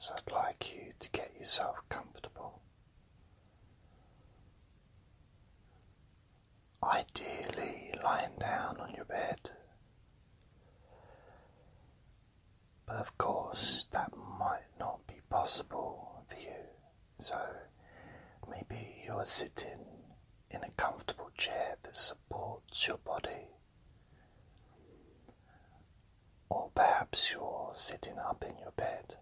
So I'd like you to get yourself comfortable. Ideally, lying down on your bed but of course, that might not be possible for you. So maybe you're sitting in a comfortable chair that supports your body. Or perhaps you're sitting up in your bed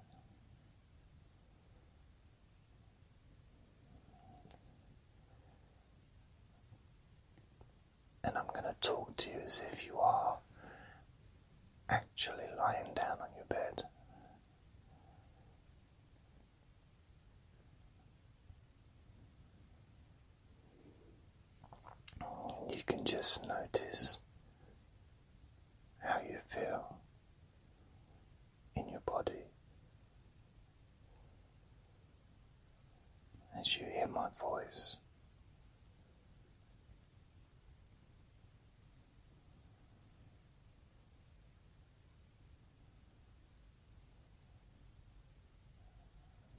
and I'm going to talk to you as if you are actually lying down on your bed. You can just notice how you feel in your body as you hear my voice.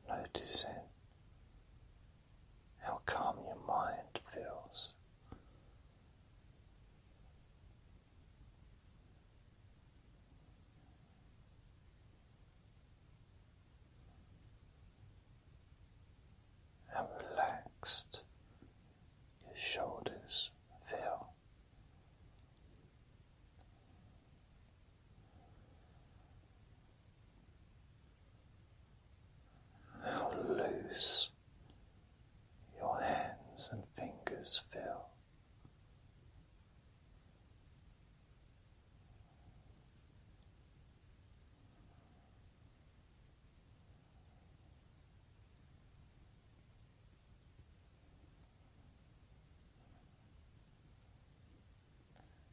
Noticing how calm your mind feels how relaxed your shoulders feel. How loose your hands and fingers feel.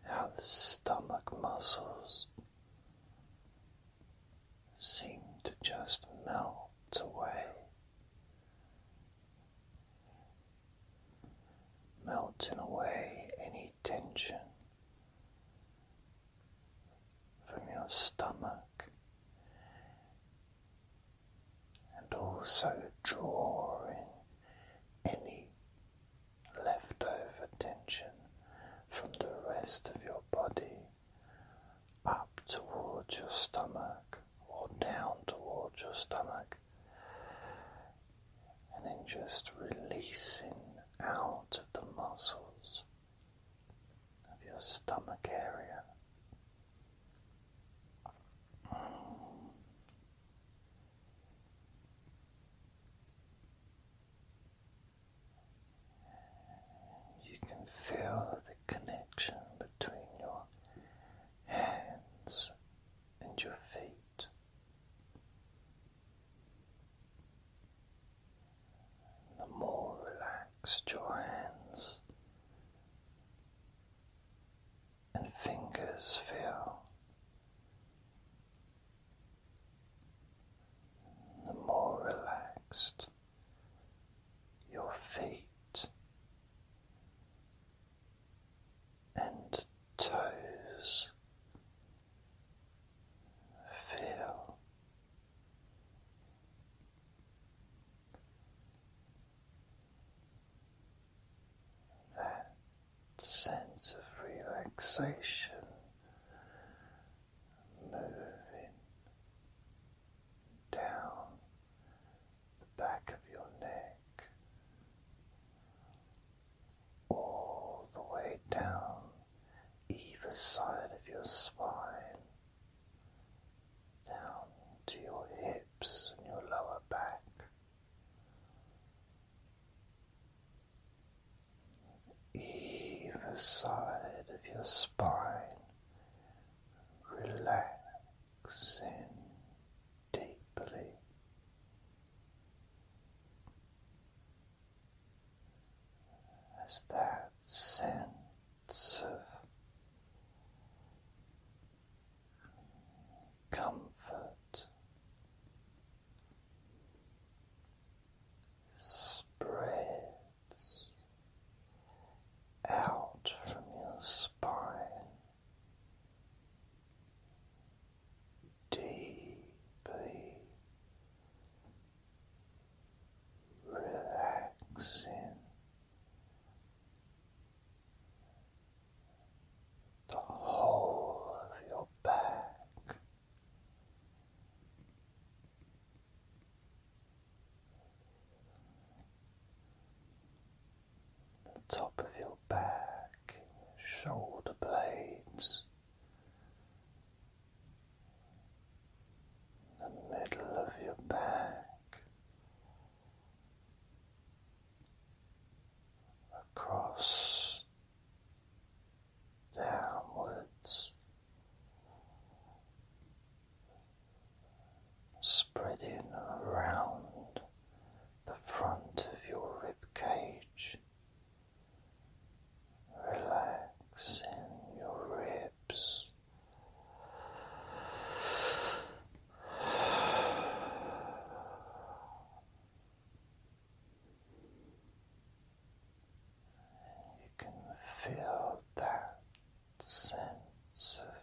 How the stomach muscles seem to just melt away, melting away any tension from your stomach, and also drawing any leftover tension from the rest of your body up towards your stomach or down towards your stomach and then just releasing out of the muscles of your stomach area. You can feel the connection between your hands and your feet. The more relaxed your hands and fingers feel, the more relaxed your feet and toes feel that sense of relaxation moving down the back of your neck all the way down either side of your spine, down to your hips and your lower back. Either side of your spine relaxing deeply. As that sense of comfort spreads out from your spine deeply relaxing the whole of your back the top of your back, shoulder blades, the middle of your back, across, downwards. Spreading around the front of your rib cage, relaxing your ribs. You can feel that sense of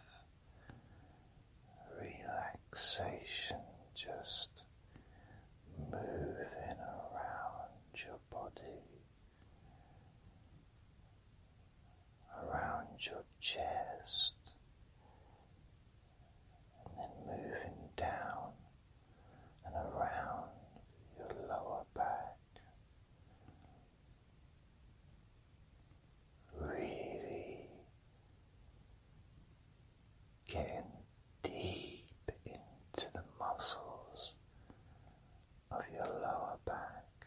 relaxation just moving around your body, around your chest, and then moving down and around your lower back. Really Getting deep into the muscles of your lower back,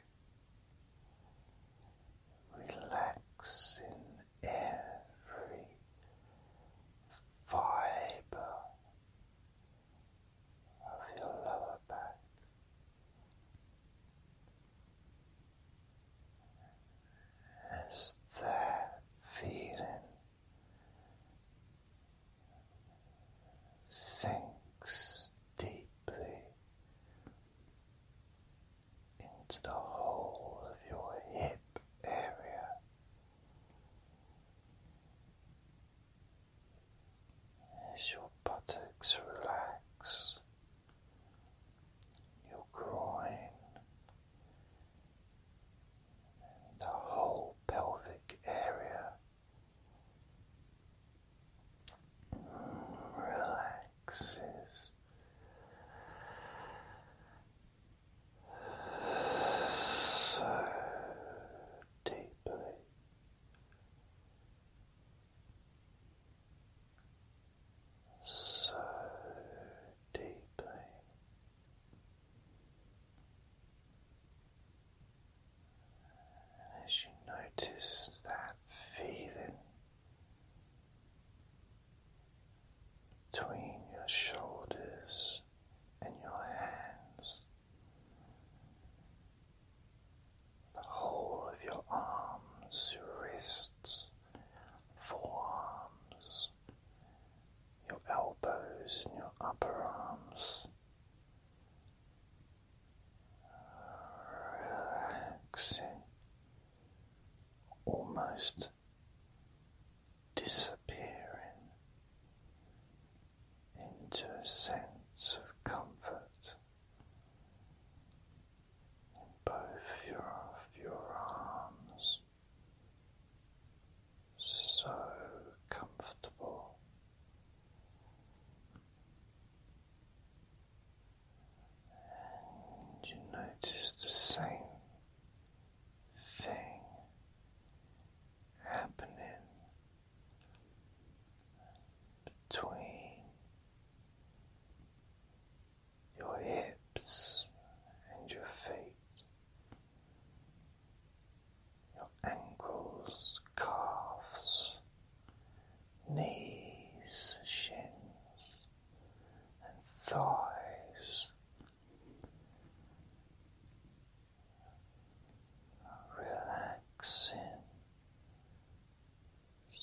relaxing every fiber of your lower back as that feeling sinks deeply into the whole of your hip area. As your buttocks relax, your groin, and the whole pelvic area. Relaxes. So deeply, so deeply. And as you notice that feeling between your shoulders and your hands, the whole of your arms, your wrists, forearms, your elbows, and your upper arms. Relaxing, almost disappearing into a sense of comfort in both of your arms, so comfortable. And you notice the same thing happening between your hips and your feet, your ankles, calves, knees, shins, and thighs. Relaxing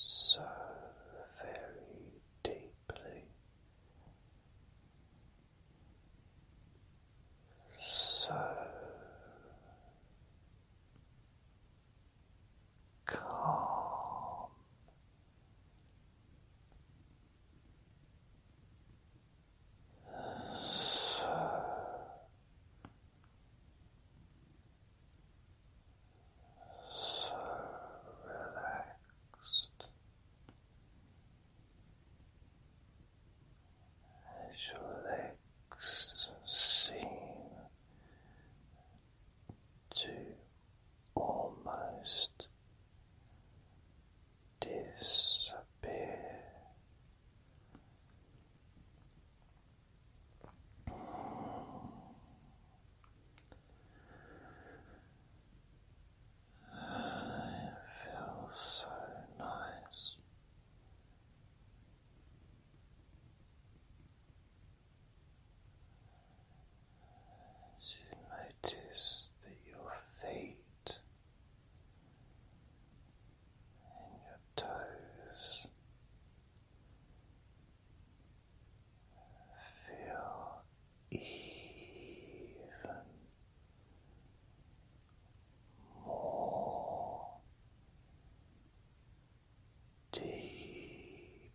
so very deeply, so calm. So so relaxed your legs seem to almost disappear. It feels so nice. As you notice that your feet and your toes feel even more deeply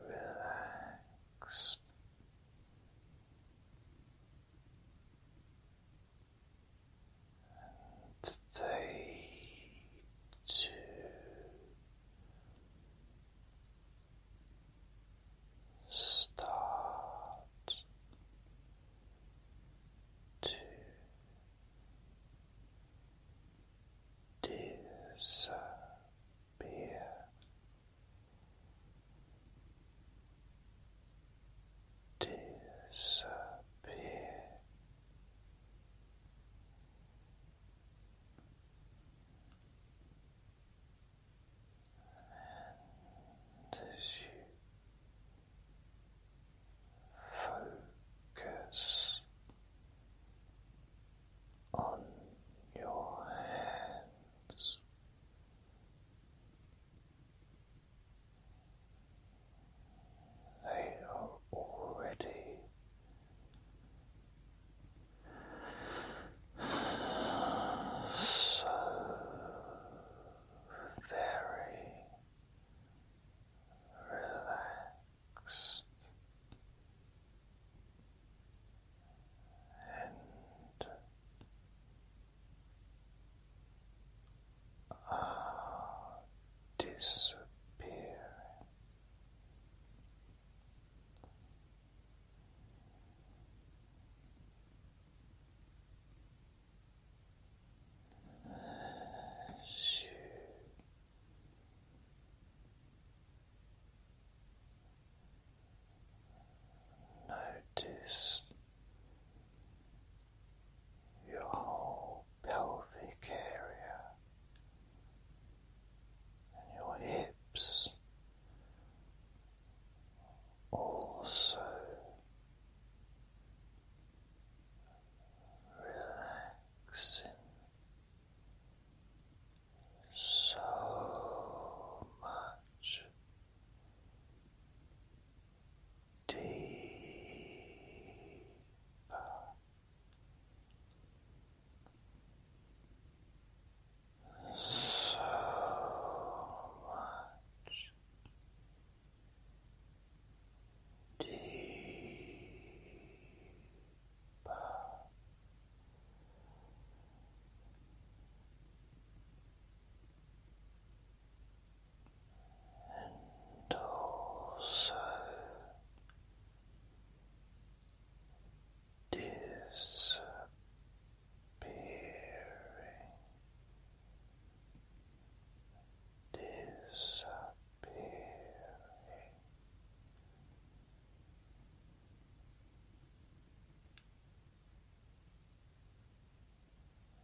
relaxed and they too start to disappear. Disappear as you focus on your hands. They are already so very relaxed and are disappearing. you notice your whole pelvic area and your hips also relaxing so much deeper so much deeper and also disappearing, disappearing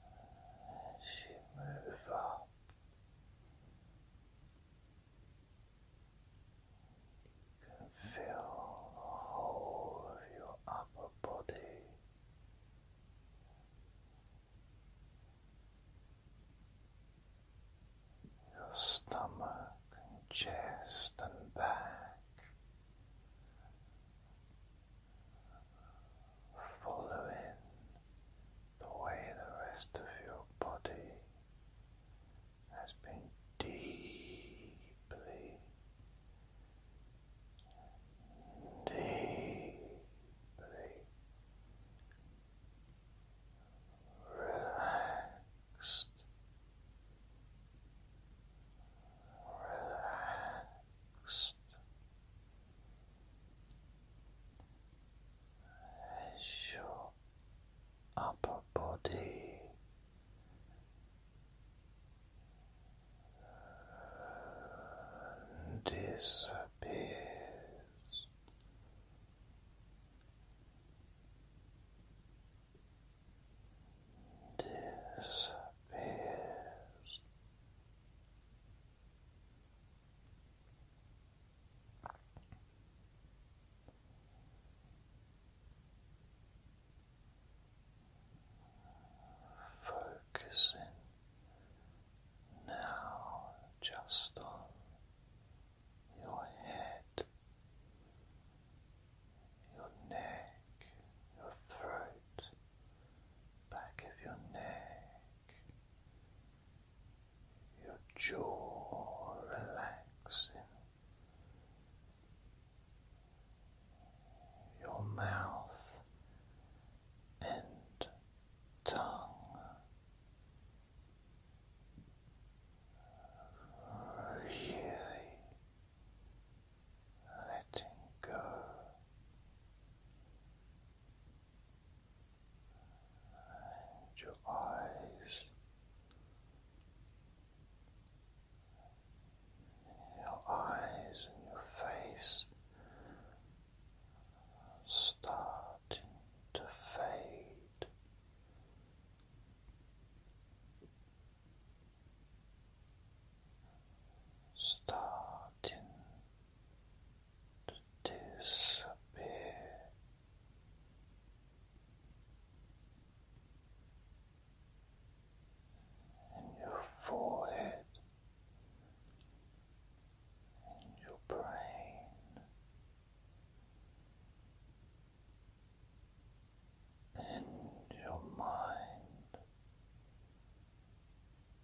as you move up you can feel the whole of your upper body your stomach and chest and back following the way the rest of your body has been deeply, deeply relaxed. Relaxed, as your upper body disappears. Disappears. Focusing now just on your head, your neck, your throat, back of your neck, your jaw relaxing, your mouth and tongue really letting go your eyes your eyes and your face starting to fade starting to disappear. In your forehead, in your brain, in your mind,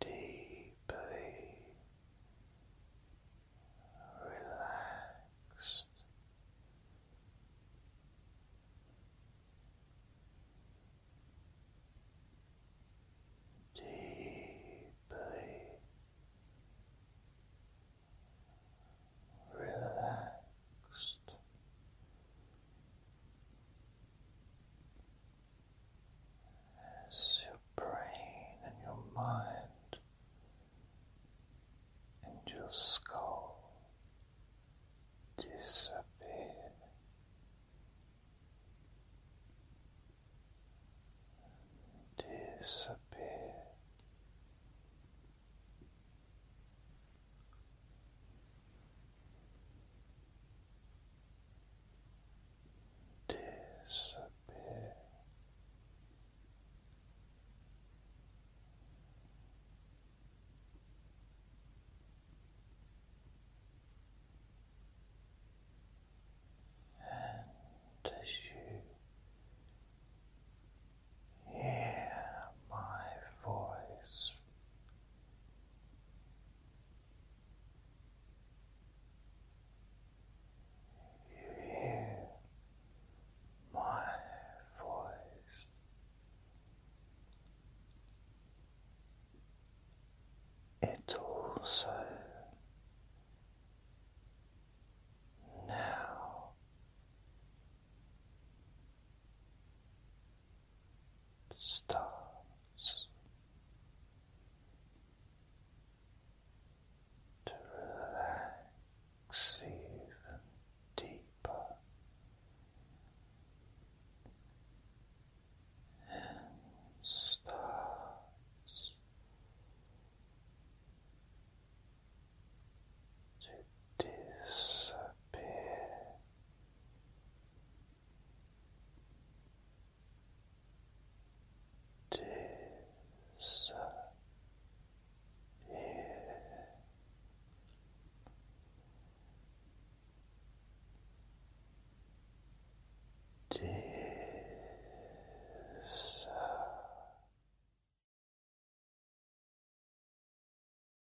deeply relaxed. Deeply relaxed, as your brain and your mind and your skull disappear. Disappear disappear. And as you hear my voice you hear my voice. It also now starts to relax even deeper and starts to disappear Disappear. Disappear.